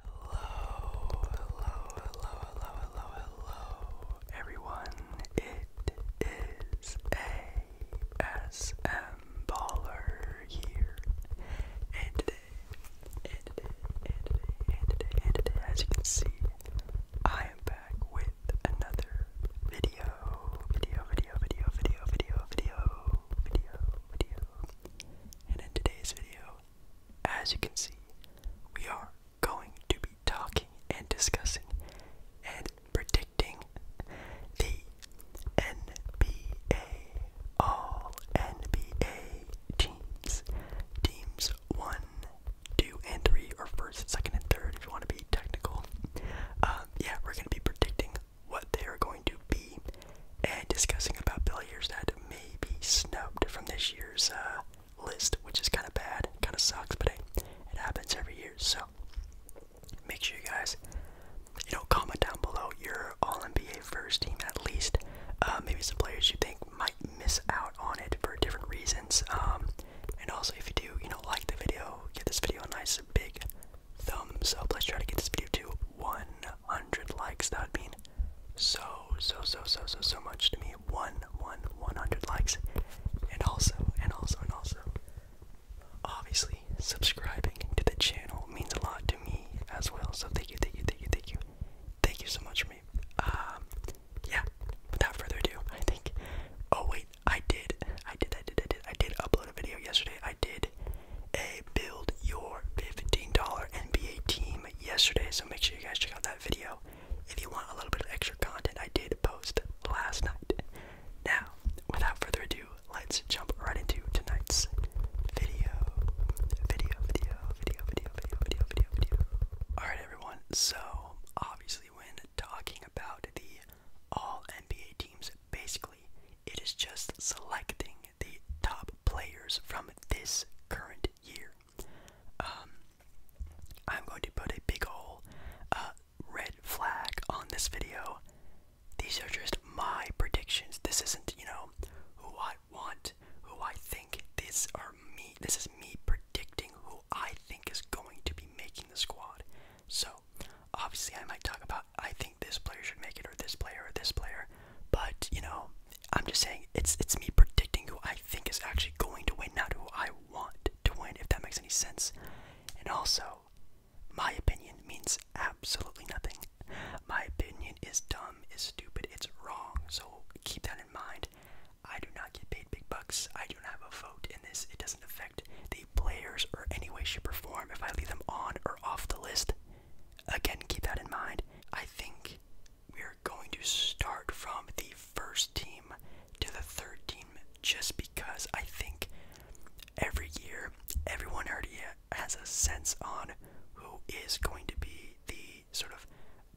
Hello, hello, hello, hello, hello, hello, everyone. It is ASM Baller here. And today, and today, and today, and today, and today, as you can see, I am back with another video. Video, video, video, video, video, video, video, video. And in today's video, as you can see, we are going to be talking and discussing and predicting the NBA, all NBA teams. Teams 1, 2, and 3, or first, second, and third, if you want to be technical. Uh, yeah, we're going to be predicting what they are going to be and discussing about billiards that may be snubbed from this year's uh, list, which is kind of bad, kind of sucks, but it happens every year. So make sure you guys, you know, comment down below your All NBA first team at least. Uh, maybe some players you think might miss out on it for different reasons. Um, and also, if you do, you know, like the video, give this video a nice big thumbs up. Let's try to get this video to 1 100 likes. That would mean so, so, so, so, so, so much to me. One, one, 100 likes. And also, and also, and also, obviously, subscribing to the channel means a lot to me as well. So thank you, thank you, thank you, thank you. Thank you so much for me. Um, yeah, without further ado, I think. Oh, wait, I did. I did, I did, I did. I did upload a video yesterday. I did a build your $15 NBA team yesterday, so make sure you guys check out that video if you want a little bit of extra content I did post last night. Now, without further ado, let's jump right into tonight's video. Video, video, video, video, video, video, video, video. Alright, everyone, so obviously, when talking about the all NBA teams, basically, it is just selecting the top players from this current year. Um, I'm going to put a big ol' uh, red flag on this video. These are just my predictions. This isn't, you know, who I want, who I think. These are me. This is me predicting who I think is going to be making the squad. So, obviously, I might talk about I think this player should make it, or this player, or this player. But you know, I'm just saying it's it's me predicting who I think is actually going to win, not who I want to win, if that makes any sense. And also, my opinion means absolutely nothing. My opinion is dumb, is stupid, it's wrong. So keep that in mind. I do not get paid big bucks. I don't have a vote in this. It doesn't affect the players or any way, shape, or form if I leave them on or off the list. Again, keep that in mind. I think we're going to start from the first team to the third team just because I think every year everyone already has a sense on who is going to be the sort of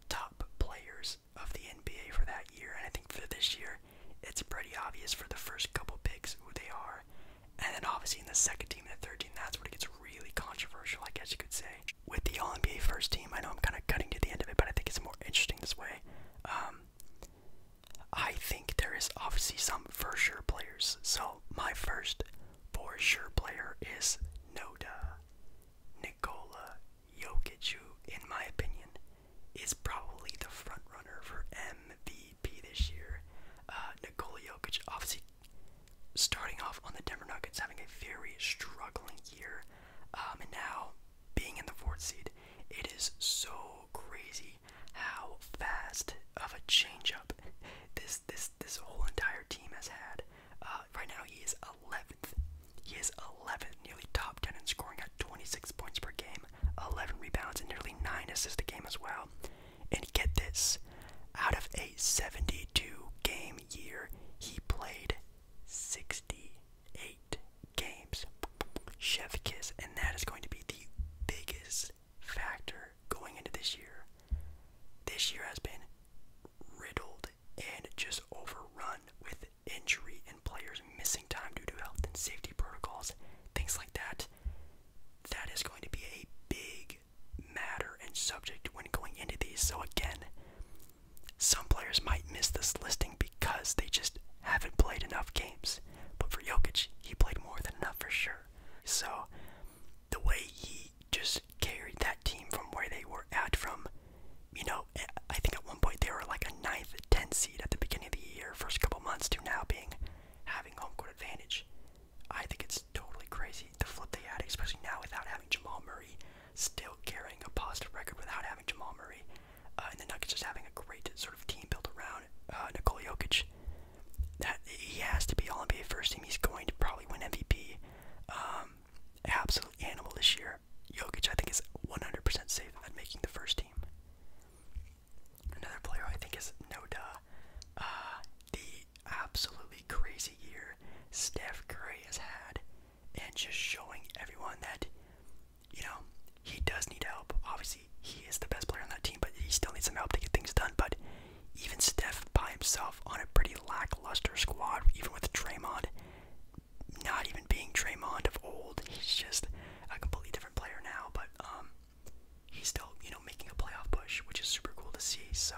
top players of the NBA for that year. And I think for this year, it's pretty obvious for the first couple picks who they are. And then obviously in the second team and the third team, that's what it gets really controversial, I guess you could say. With the All NBA first team, I know I'm kind of cutting to the end of it, but I think it's more interesting this way. Um, I think there is obviously some for sure players. So my first for sure player is Noda. Nikola Jokic, who, in my opinion, is probably the front runner for MVP this year. Uh, Nikola Jokic obviously starting off on the Denver Nuggets having a very struggling year, um, and now being in the fourth seed, it is so crazy how fast of a changeup this this this whole entire team has had. Uh, right now, he is 11th. He is 11th, nearly top 10 in scoring at 26 points per game, 11 rebounds, and nearly 9 assists a game as well. And get this out of a 72 game year, he played 68 games. Chef Kiss, and that is going to be the biggest factor going into this year. This year has been riddled and just overrun with injury and players missing time due to health and safety protocols, things like that. That is going to be a big matter and subject when going into these. So, again, some players might miss this listing because they just haven't played enough games. But for Jokic, he played more than enough for sure. So, the way he just carried that team from where they were at, from, you know, I think at one point they were like a 9th, 10th seed at the beginning of the year, first couple months, to now being having home court advantage. I think it's totally crazy the flip they had, especially now without having Jamal Murray, still carrying a positive record without having Jamal Murray, uh, and the Nuggets just having a great sort of team built around uh, Nikola Jokic. That he has to be All NBA first team. He's going to probably win MVP. Um, absolute animal this year. Jokic, I think, is 100% safe at making the first team. Another player I think is Noda. Uh, the absolutely crazy year Steph Curry has had, and just showing everyone that, you know, he does need help. Obviously, he is the best player on that team, but he still needs some help to get things done. But even Steph by himself on a pretty lackluster squad, even with Draymond not even being Draymond of old, he's just a completely different player now. But um, he's still, you know, making a playoff push, which is super cool to see. So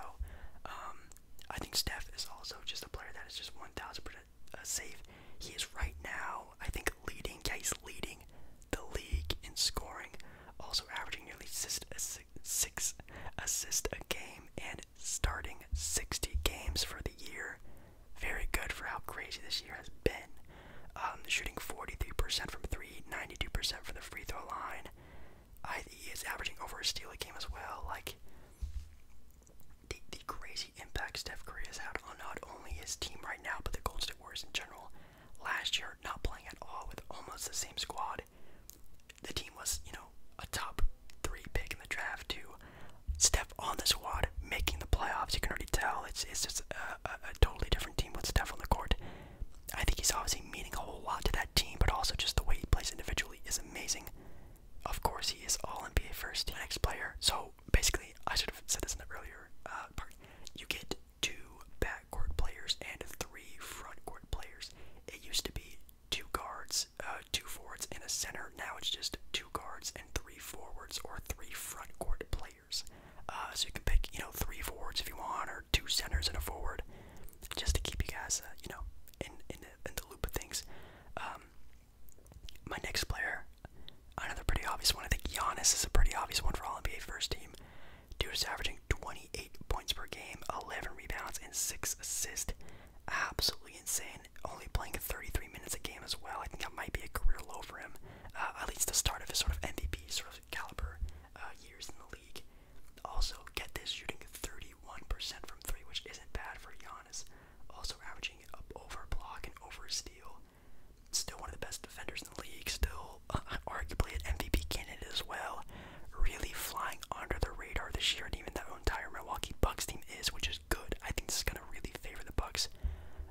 um, I think Steph is also just a player that is just 1,000% uh, safe. He is right now, I think, leading. Yeah, leading the league in scoring, also averaging nearly six, assists a game and starting 60 games for the year. Very good for how crazy this year has been. Um, shooting 43% from three, 92% from the free throw line. I, he is averaging over a steal a game as well. Like the, the crazy impact Steph Curry has had on not only his team right now, but the Golden State Warriors in general. Last year, not playing at all with almost the same squad, the team was you know a top three pick in the draft to Steph on the squad, making the playoffs. You can already tell it's it's just a, a totally different team with Steph on the court. I think he's obviously meaning a whole lot to that team, but also just the way he plays individually is amazing. Of course, he is all NBA first. Next player. So basically, I should have said this in the earlier uh, part. You get two backcourt players and three frontcourt players. It used to be two guards, uh, two forwards, and a center. Now it's just two guards and three forwards or three frontcourt players. Uh, so you can pick, you know, three forwards if you want, or two centers and a forward just to keep you guys, uh, you know, in in the, in the loop of things. Um, my next player, another pretty obvious one. I think Giannis is a pretty obvious one for all NBA first team. Dude is averaging 28 points per game, 11 rebounds, and six assists. Absolutely insane. Only playing 33 minutes a game as well. I think that might be a career low for him. Uh, at least the start of his sort of MVP sort of caliber uh, years in the league. Also, get this, shooting 31% from three, which isn't bad for Giannis. Also averaging it up over block and over steal. Still one of the best defenders in the league. Still, arguably an MVP candidate as well. Really flying under the radar this year, and even that entire Milwaukee Bucks team is, which is good. I think this is gonna really favor the Bucks,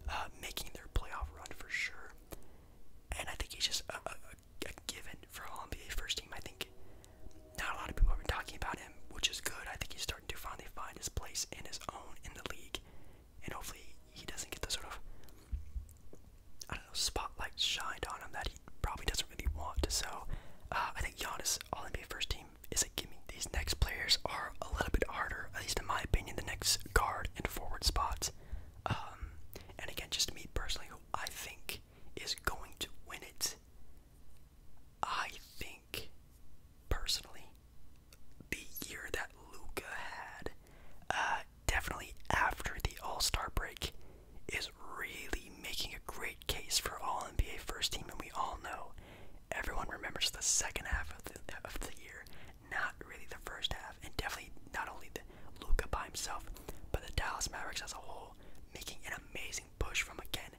uh, making their playoff run for sure. And I think he's just given for all NBA first team. I think not a lot of people have been talking about him, which is good. I think he's starting to finally find his place and his own in the league, and hopefully he doesn't get the sort of I don't know spotlight shined on him that he probably doesn't really want. to. So uh, I think Giannis All NBA first team is a gimme. These next players are a little bit harder, at least in my opinion. The next guard and forward spots. Um, and again, just me personally, who I think is going to win it? I think, personally, the year that Luca had, uh, definitely after the All Star break, is really making a great case for All NBA First Team, and we all know everyone remembers the second half of the of the year, not really the first half, and definitely not only Luca by himself, but the Dallas Mavericks as a whole making an amazing push from again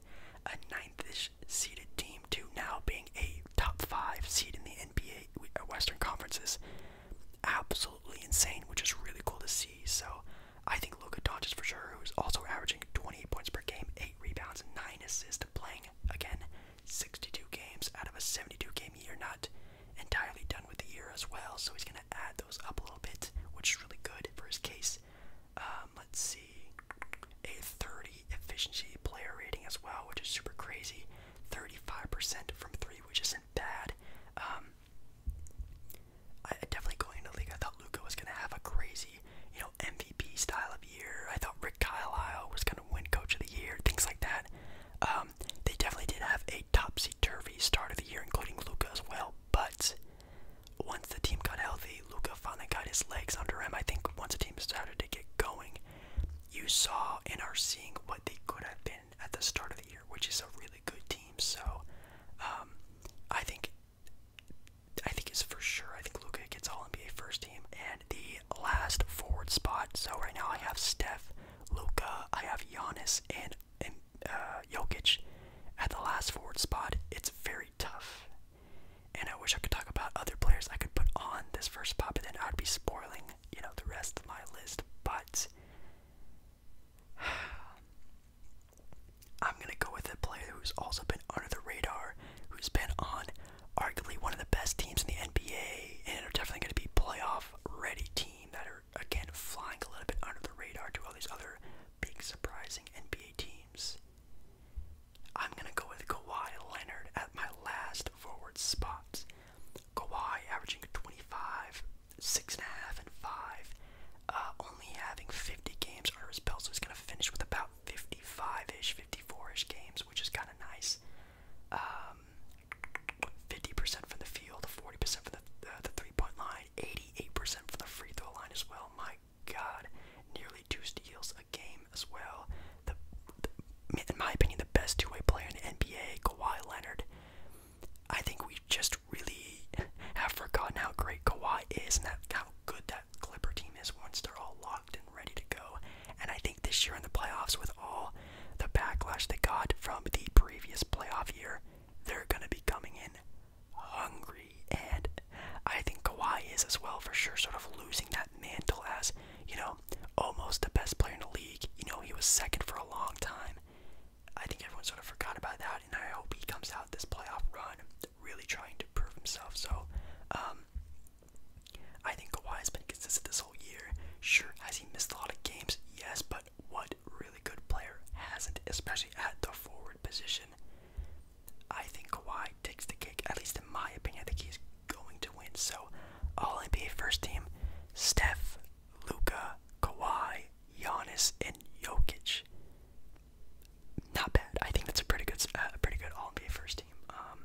a ninth-ish seeded team to now being a top five seed in the NBA uh, Western Conferences. Absolutely insane, which is really cool to see. So I think Luka Doncic for sure, who's also averaging 28 points per game, eight rebounds, nine assists, playing again 62 games out of a 72-game year. Not entirely done with the year as well, so he's gonna add those up a little bit, which is really good for his case. Um, let's see, a 30 efficiency player rating as well, which is super crazy. 35% from three, which isn't bad. Um, I definitely going into the league, I thought Luca was gonna have a crazy, you know, MVP style of year. I thought Rick Carlisle was gonna win Coach of the Year, things like that. Um, they definitely did have a topsy turvy start of the year, including Luca as well. But once the team got healthy, Luca finally got his legs under him. I think once the team started to get going, you saw and are seeing what they could have been at the start of the year, which is a really good team. So um, I think I think it's for sure. I think Luca gets all NBA first team. And the last forward spot. So right now I have Steph, Luca, I have Giannis, and and uh, Jokic at the last forward spot, it's very tough. And I wish I could talk about other players I could put on this first pop, but then I'd be spoiling, you know, the rest of my list. But I'm gonna go with a player who's also been under the radar, who's been on arguably one of the best teams in the NBA, and are definitely gonna be playoff ready team that are again flying a little bit under the radar to all these other big surprising NBA teams. I'm gonna go with Kawhi Leonard at my last forward spot. Kawhi averaging 25, six and a half, and five, uh, only having 50 games under his belt, so he's gonna finish with about 55-ish, 54-ish games, which is kind of nice. 50% um, from the field, 40% from the, the three-point line. 88% from the free throw line as well. My God, nearly two steals a game as well. The, in my opinion, the best two-way player in the NBA, Kawhi Leonard. I think we just really have forgotten how great Kawhi is and how good that Clipper team is once they're all locked and ready to go. And I think this year in the playoffs, with all the backlash they got from the previous playoff year, they're gonna be coming in hungry, and I think Kawhi is as well for sure, sort of losing that mantle as you know, almost the best player in the league. You know, he was second for a long time. I think everyone sort of forgot about that, and I hope he comes out this playoff run really trying to prove himself. So, um, I think Kawhi has been consistent this whole year. Sure, has he missed a lot of games? Yes, but what really good player hasn't, especially at the forward position. I think Kawhi takes the cake, at least in my opinion. I think he's going to win. So, all NBA first team Steph, Luca, Kawhi, Giannis, and Jokic. Not bad. I think that's a pretty good, uh, pretty good all NBA first team. Um,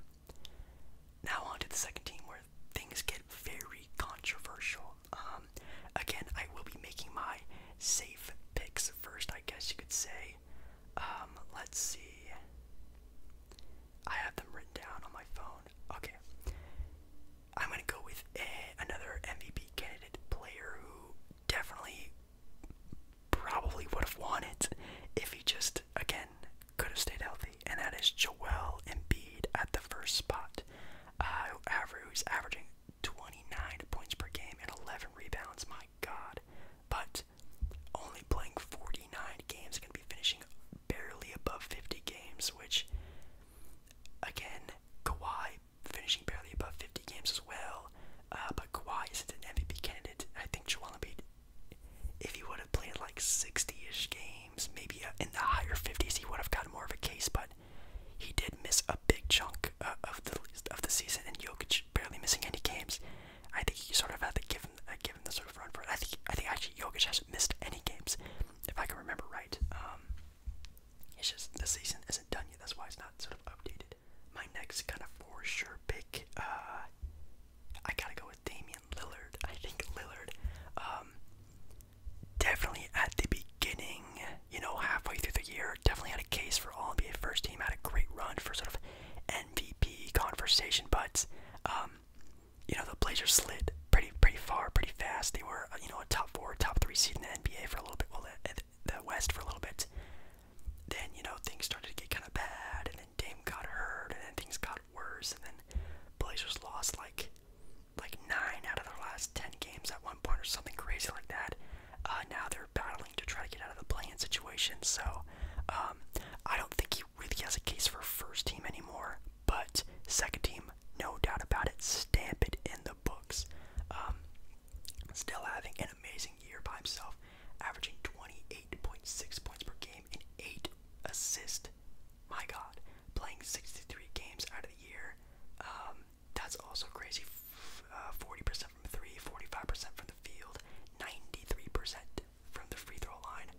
now on to the second team where things get very controversial. Um, again, I will be making my safe picks first, I guess you could say. Um, let's see. I have them written down on my phone. Okay. I'm going to go with a, another MVP candidate player who definitely probably would have won it if he just, again, could have stayed healthy. And that is Joel Embiid at the first spot, uh, who's averaging 29 points per game and 11 rebounds. My God. But only playing 49 games, going to be finishing barely above 50 games, which, again, Kawhi finishing barely above 50 games as well. Uh, but Kawhi isn't an MVP candidate. I think Joel Embiid, if he would have played like 60-ish games, maybe uh, in the higher 50s, he would have gotten more of a case. But he did miss a big chunk uh, of the of the season, and Jokic barely missing any games. I think he sort of had to give him uh, give him the sort of run for it. I think I think actually Jokic hasn't missed any games, if I can remember right. Um, it's just the season isn't done yet. That's why it's not sort of updated. My next kind of for sure pick, uh, I gotta go with Damian Lillard. I think Lillard, um, definitely at the beginning, you know, halfway through the year, definitely had a case for All NBA first team. Had a great run for sort of MVP conversation, but um, you know, the Blazers slid pretty pretty far, pretty fast. They were you know a top four, top three seed in the NBA for a little bit. Well, the, the West for a little bit. Then you know things started to get kind of bad, and then Dame got hurt, and then things got worse, and then Blazers lost like like nine out of their last ten games at one point or something crazy like that. Uh, now they're battling to try to get out of the playing situation. So um, I don't think he really has a case for first team anymore. But second team, no doubt about it, stamp it in the books. Um, still having an amazing year by himself, averaging 28.6 points per game and eight assists. My God, playing 63 games out of the year. Um, that's also crazy. Uh, forty percent from three, 45 percent from the field, ninety-three percent from the free throw line.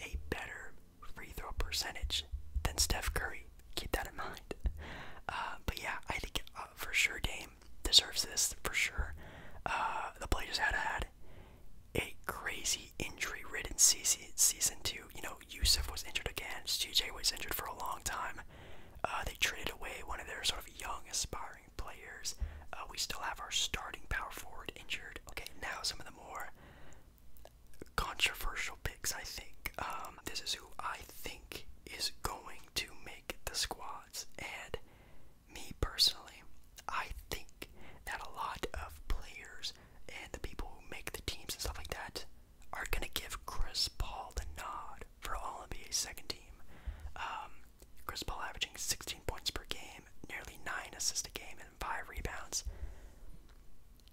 A better free throw percentage than Steph Curry. Keep that in mind. Uh, but yeah, I think uh, for sure Dame deserves this for sure. the Blazers had had a crazy injury-ridden season, season two. You know, Yusuf was injured again. CJ was injured for a long time. Uh, they traded away one of their sort of young, aspiring players. Uh, we still have our starting power forward injured. Okay, now some of the more controversial picks, I think. Um, this is who I think is going to make the squads. And me personally, I think that a lot of players and the people who make the teams and stuff like that are going to give Chris Paul the nod for All NBA second team. Um, Chris Paul averaging 16 points per game, nearly 9 assists a game, and 5 rebounds.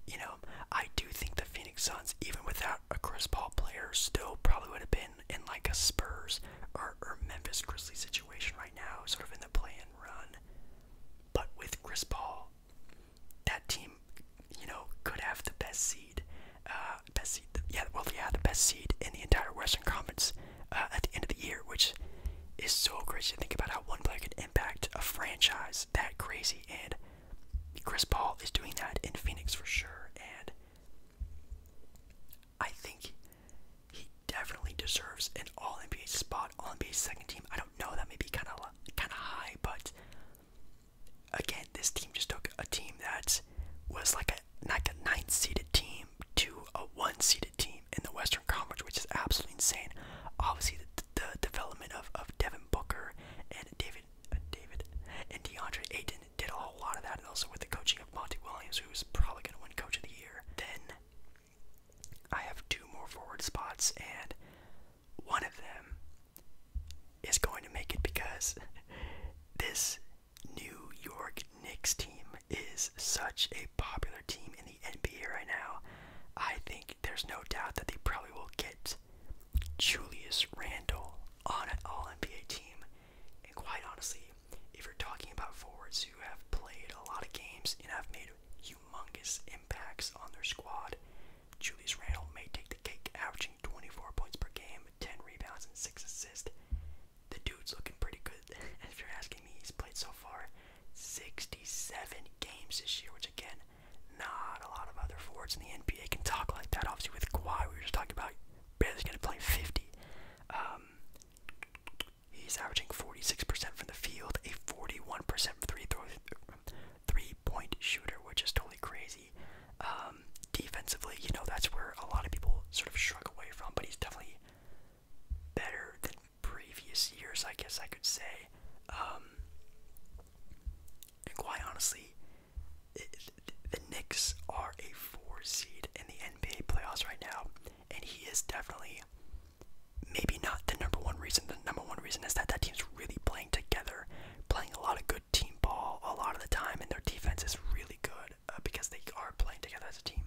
You know, I do think the Phoenix Suns, even without a Chris Paul player, still probably would have been in like a Spurs or, or Memphis Grizzlies situation right now, sort of in the play and run. But with Chris Paul, that team, you know, could have the best seed. Uh, best seed. Yeah, well, yeah, the best seed in the entire Western Conference uh, at the end of the year, which is so crazy to think about how one player can impact a franchise that crazy. And Chris Paul is doing that in Phoenix for sure. And I think he definitely deserves an All NBA spot, All NBA second team. I don't know, that may be kind of kind of high, but again, this team just took a team that was like a like a ninth seeded team to a one seeded team in the Western Conference, which is absolutely insane. Obviously, the, development of, of Devin Booker and David uh, David and DeAndre Ayton did a whole lot of that, and also with the coaching of Monty Williams, who's probably going to win Coach of the Year. Then I have two more forward spots, and one of them is going to make it because this New York Knicks team is such a popular team in the NBA right now. I think there's no doubt that they probably will get Julius Randle on an all NBA team. And quite honestly, if you're talking about forwards who have played a lot of games and have made humongous impacts on their squad, Julius Randle may take the cake, averaging 24 points per game, 10 rebounds, and 6 assists. The dude's looking pretty good. And if you're asking me, he's played so far 67 games this year, which again, not a lot of other forwards in the NBA can talk like that. Obviously, with Kawhi, we were just talking about barely's going to play 50. Um, he's averaging 46% from the field, a 41% three throw, three point shooter, which is totally crazy. Um, defensively, you know, that's where a lot of people sort of shrug away from, but he's definitely better than previous years, I guess I could say. Um, and quite honestly, the Knicks are a four seed in the NBA playoffs right now, and he is definitely maybe not the number one reason. The number one reason is that that team's really playing together playing a lot of good team ball a lot of the time, and their defense is really good uh, because they are playing together as a team.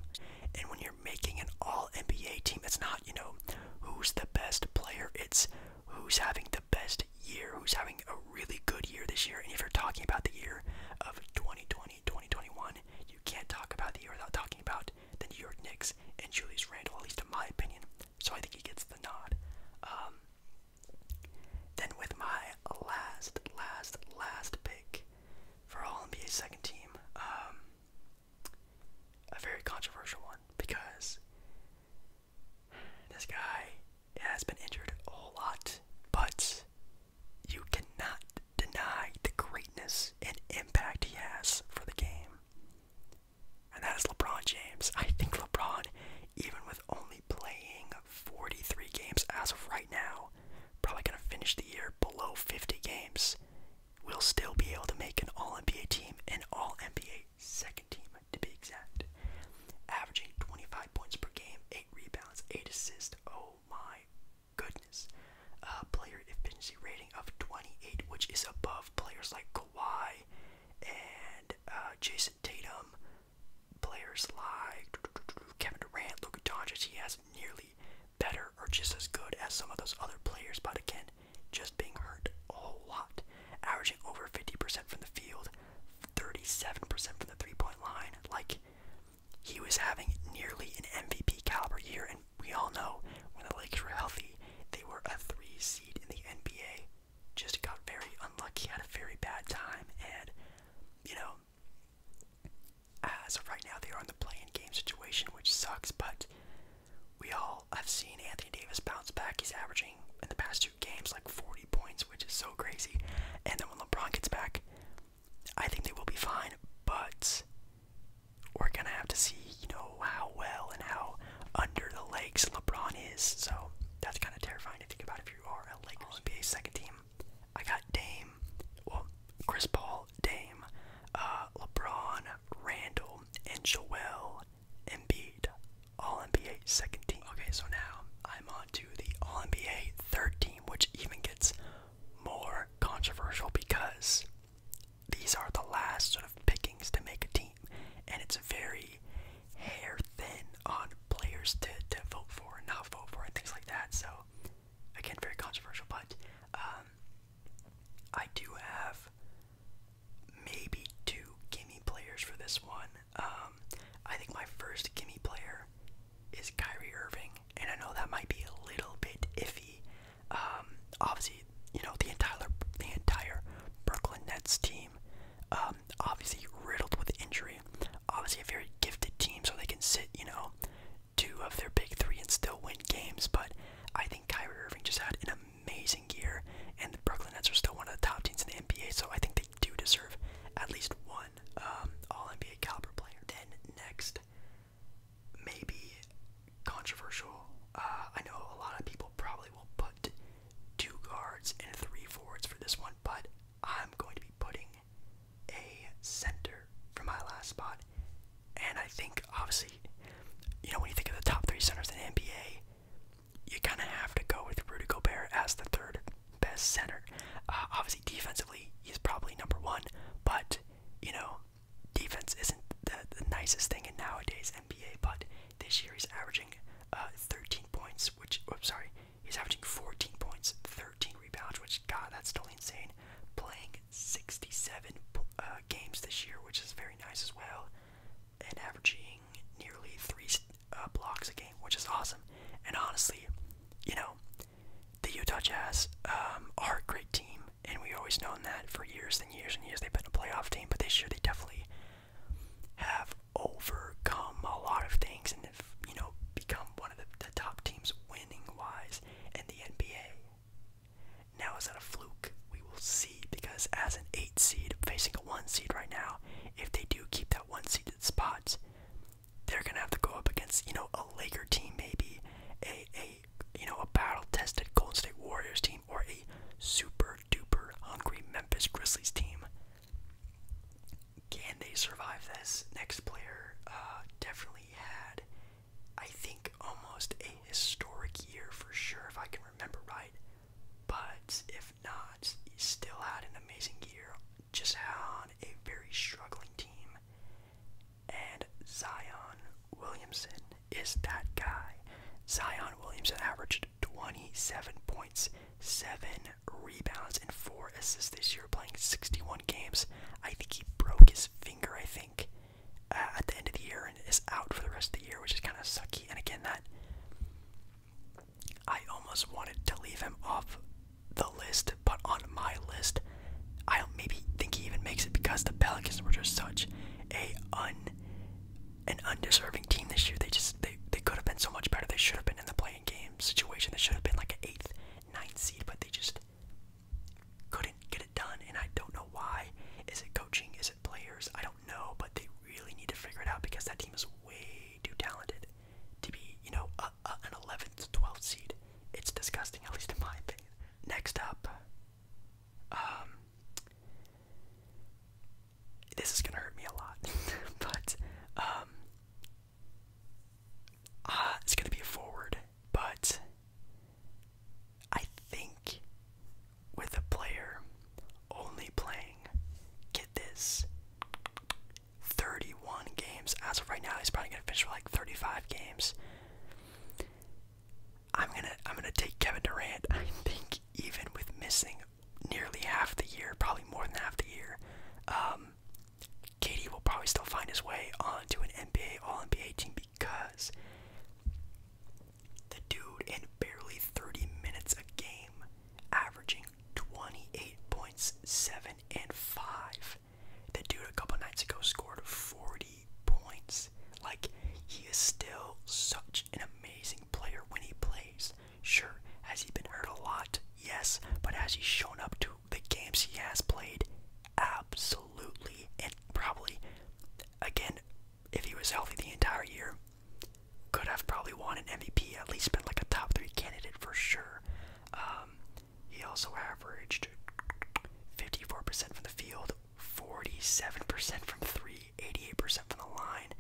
And when you're making an all NBA team, it's not, you know, who's the best player, it's who's having the best year, who's having a really good year this year. And if you're talking about the year of 2020, 2021, you can't talk about the year without talking about the New York Knicks and Julius Randle, at least in my opinion. So I think he gets the nod. Um, then with my last, last, last pick for All NBA second team, um, a very controversial one because this guy has been injured a whole lot, but you cannot deny the greatness and impact he has for the game and that is LeBron James. I think LeBron, even with only playing 43 games as of right now, probably going to finish the year below 50 games, will still be able to make an All NBA team, an All NBA second team to be exact, averaging 25 points per game, 8 rebounds, 8 assists. Oh my goodness. A uh, player efficiency rating of 28, which is above players like Kawhi and uh, Jason Tatum. Players like Kevin Durant, Luka Doncic. He has nearly better or just as good as some of those other players, but again, just being hurt a whole lot. Averaging over 50% from the field, 37% from the three-point line. Like he was having nearly an MVP caliber year, and we all know when the Lakers were healthy, they were a three seed in the NBA just got very unlucky, had a very bad time, and you know, as of right now, they are in the play-in game situation, which sucks. But we all have seen Anthony Davis bounce back. He's averaging in the past two games like 40 points, which is so crazy. And then when LeBron gets back, I think they will be fine. But we're gonna have to see you know how well and how under the legs LeBron is. So that's kind of terrifying to think about if you are a Lakers NBA second team. I got Dame, well, Chris Paul, Dame, uh, LeBron, Randall, and Joel Embiid, All NBA second team. Okay, so now I'm on to the All NBA third team, which even gets more controversial because these are the last sort of pickings to make a team, and it's very hair thin on players to, to vote for and not vote for and things like that. So, again, very controversial, but um, I do have maybe two gimme players for this one. Um, I think my first gimme player is Kyrie Irving, and I know that might be a little bit iffy. Um, obviously, you know the entire the entire Brooklyn Nets team, um, obviously riddled with injury, obviously a very gifted team, so they can sit you know two of their big three and still win games. But I think Kyrie Irving just had an amazing year, and the Brooklyn Nets are still one of the top teams in the NBA, so I think they do deserve at least one um, All NBA caliber player. Then next, maybe controversial. Uh, I know a lot of people probably will put two guards and three forwards for this one, but I'm going to be putting a center for my last spot. And I think, obviously, you know, when you think of the top three centers in NBA, you kind of have to go with Rudy Gobert as the third best center. Uh, obviously, defensively, he's probably number one, but, you know, defense isn't the nicest thing in nowadays NBA, but this year he's averaging. Uh, 13 points, which, oops, sorry, he's averaging 14 points, 13 rebounds, which, God, that's totally insane. Playing 67 uh, games this year, which is very nice as well, and averaging nearly three uh, blocks a game, which is awesome. And honestly, you know, the Utah Jazz um, are a great team, and we've always known that for years and years and years. They've been a playoff team, but they year they definitely have overcome a lot of things and have, you know, become one of the, top teams winning wise in the NBA. Now, is that a fluke? We will see because as an 8 seed facing a 1 seed right now, if they do keep that 1 seeded spot, they're going to have to go up against, you know, a Laker team maybe, a, a you know, a battle tested Golden State Warriors team, or a super super duper hungry Memphis Grizzlies team. Can they survive this? Next player uh, definitely had, I think, almost a historic year for sure, if I can remember right. But if not, he still had an amazing year, just on a very struggling team. And Zion Williamson is that guy. Zion Williamson averaged 27 points, 7 rebounds, and 4 assists this year, playing 61 games. I think he broke his finger, I think, uh, at the end of the year and is out for the rest of the year, which is kind of sucky. And again, that. I almost wanted to leave him off the list, but on my list, I maybe think he even makes it because the Pelicans were just such a un an undeserving team this year. They just they they could have been so much better. They should have been in the playing game situation. They should have been like an eighth, ninth seed, but they just couldn't get it done. And I don't know why. Is it coaching? Is it players? I don't know, but they really need to figure it out because that team is way too talented to be, you know, a, an 11th, 12th seed. It's disgusting, at least in my opinion. Next up, um, this is gonna hurt me a lot, but um, ah, it's gonna be a forward. But I think with a player only playing, get this, 31 games as of right now, he's probably gonna finish with like 35 games. I'm gonna I'm gonna take Kevin Durant. I think even with missing nearly half the year, probably more than half the year, um, KD will probably still find his way onto an NBA All NBA team because the dude in barely 30 minutes a game, averaging 28 points, seven and five. The dude a couple nights ago scored 40 points. Like he is still such an amazing player when he plays. Sure, has he been hurt a lot? Yes, but has he shown up to the games he has played? Absolutely. And probably, again, if he was healthy the entire year, could have probably won an MVP, at least been like a top three candidate for sure. Um, he also averaged 54% from the field, 47% from three, 88% from the line.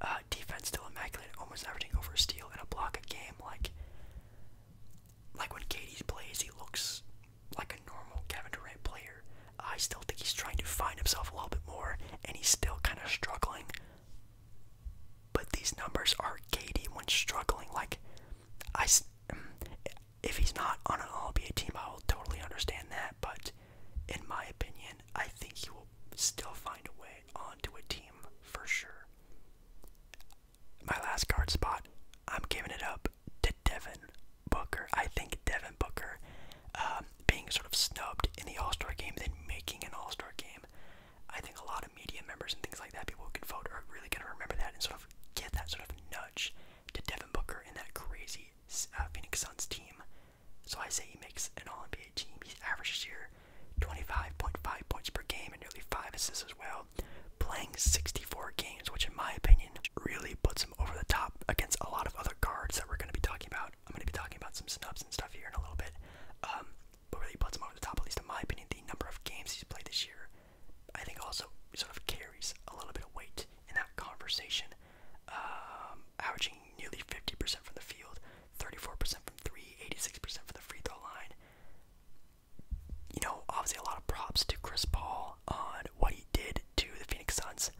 Uh, defense still immaculate, almost averaging over a steal and a block a game. Like, like when Katie's plays, he looks like a normal Kevin Durant player. I still think he's trying to find himself a little bit more, and he's still kind of struggling. But these numbers are Katie when struggling. Like, I, if he's not on an All NBA team, I will totally understand that. But in my opinion, I think he will still find a way onto a team for sure. My last guard spot, I'm giving it up to Devin Booker. I think Devin Booker um, being sort of snubbed in the All Star game, then making an All Star game. I think a lot of media members and things like that, people could vote, are really going to remember that and sort of get that sort of nudge to Devin Booker and that crazy uh, Phoenix Suns team so I say he makes an All NBA team. He averaged here 25.5 points per game and nearly 5 assists as well. Playing 64 games, which in my opinion really puts him over the top against a lot of other guards that we're going to be talking about. I'm going to be talking about some snubs and stuff here in a little bit. Um, but really puts him over the top, at least in my opinion, the number of games he's played this year. I think also sort of carries a little bit of weight in that conversation. Um, averaging nearly 50% from the field, 34% from three, percent from the free throw line. You know, obviously a lot of props to Chris Paul on what he did to the Phoenix Suns,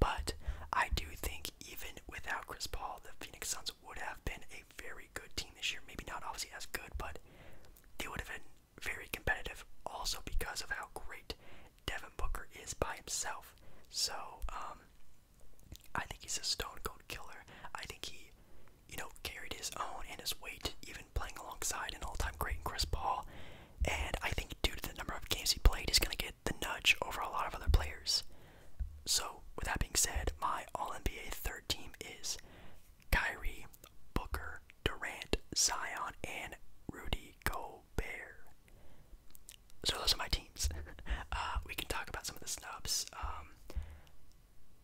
but I do think even without Chris Paul, the Phoenix Suns would have been a very good team this year. Maybe not obviously as good, but they would have been very competitive also because of how great Devin Booker is by himself. So, um, I think he's a stone cold killer. I think he, you know, carried his own and his weight, even playing alongside an all-time great in Chris Paul. And I think due to the number of games he played, he's gonna get the nudge over a lot of other players. So, with that being said, my All-NBA third team is Kyrie, Booker, Durant, Zion, and Rudy Gobert so those are my teams. Uh, we can talk about some of the snubs. Um,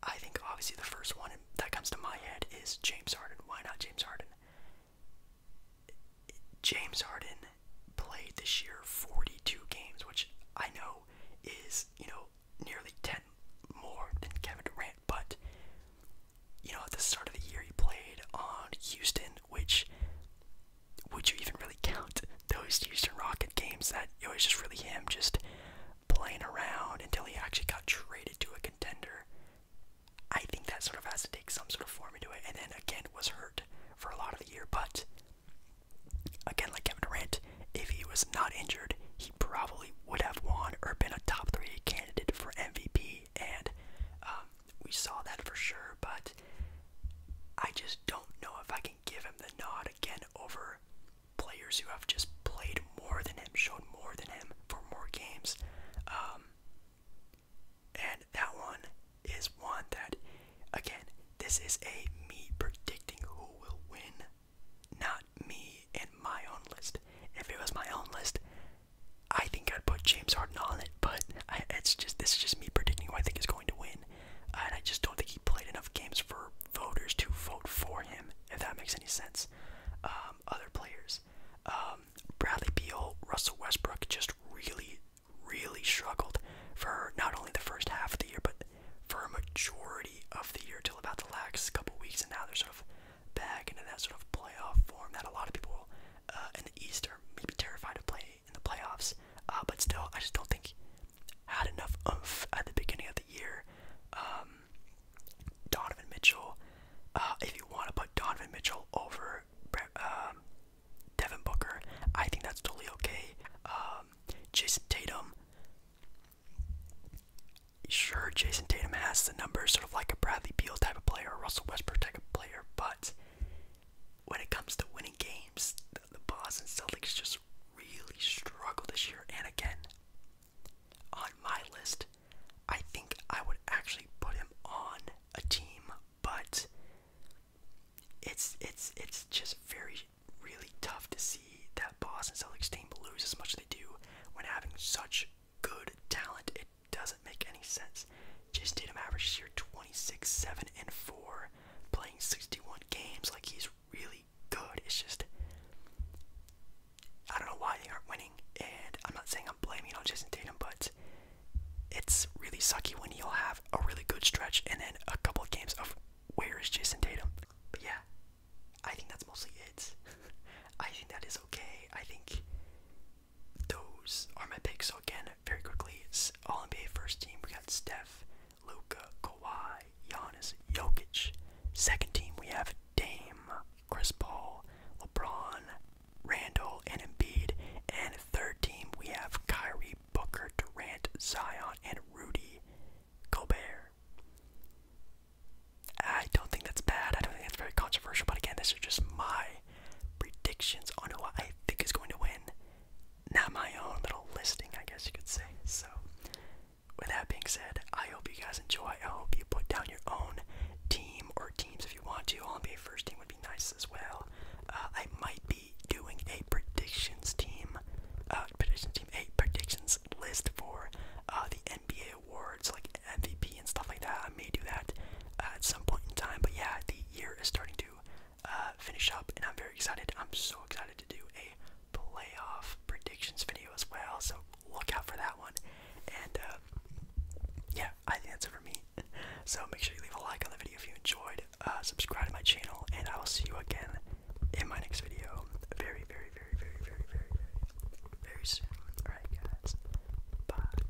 I think obviously the first one that comes to my head is James Harden. Why not James Harden? James Harden played this year 42 games, which I know is, you know, nearly 10 more than Kevin Durant, but you know, at the start of the year he played on Houston, which would you even really count those Houston Rocket games that it was just really him just playing around until he actually got traded to a contender? I think that sort of has to take some sort of form into it, and then again was hurt for a lot of the year. But again, like Kevin Durant, if he was not injured, he probably would have won or been a top three candidate for MVP and um, we saw that for sure, but I just don't know if I can give him the nod again over players who have just played more than him, shown more than him for more games. Um, and that one is one that, again, this is a me predicting who will win, not me in my own list. If it was my own list, I think I'd put James Harden on it, but I, it's just this is just me predicting who I think is going to win, uh, and I just don't think he played enough games for voters to vote for him. If that makes any sense. Um, other players, um, Bradley Beal, Russell Westbrook, just really, really struggled for not only the first half of the year, but for a majority of the year till about the last couple weeks, and now they're sort of back into that sort of playoff form that a lot of people uh, in the East are maybe terrified of playing in the playoffs. Uh, but still, I just don't think had enough oomph at the beginning of the year. Um, Donovan Mitchell. Uh, if you want to put Donovan Mitchell over um, Devin Booker, I think that's totally okay. Um, Jason Tatum. Sure, Jason Tatum has the numbers, sort of like a Bradley Beal type of player, Russell Westbrook type of player, but when it comes to winning games, the, the Boston Celtics just really struggle this year. And again, on my list, I think I would actually put him on a team, but it's it's it's just very really tough to see that Boston Celtics team lose as much as they do when having such good talent doesn't make any sense. Jason Tatum averaged this year 26, 7, and 4, playing 61 games. Like, he's really good. It's just, I don't know why they aren't winning. And I'm not saying I'm blaming on Jason Tatum, but it's really sucky when you'll have a really good stretch and then a couple games of where is Jason Tatum. But yeah, I think that's mostly it. I think that is okay. I think those are my picks. So again, very quickly, it's All NBA first team. We got Steph, Luca, Kawhi, Giannis, Jokic. Second team, we have Dame, Chris Paul, LeBron, Randall, and Embiid. And third team, we have Kyrie, Booker, Durant, Zion, and Rudy Gobert. I don't think that's bad. I don't think that's very controversial. But again, these are just my predictions on who I think is going to win. Not my own little listing, I guess you could say. So, with that being said, I hope you guys enjoy. I hope you put down your own team or teams if you want to. All NBA first team would be nice as well. Uh, I might be doing a predictions team, uh, predictions team, a predictions list for uh, the NBA awards, like MVP and stuff like that. I may do that at some point in time. But yeah, the year is starting to to uh, finish up, and I'm very excited. I'm so excited to do a playoff predictions video as well, so look out for that one. And uh, yeah, I think that's it for me. So make sure you leave a like on the video if you enjoyed, uh, subscribe to my channel, and I will see you again in my next video very, very, very, very, very, very, very, very soon. Alright, guys. Bye.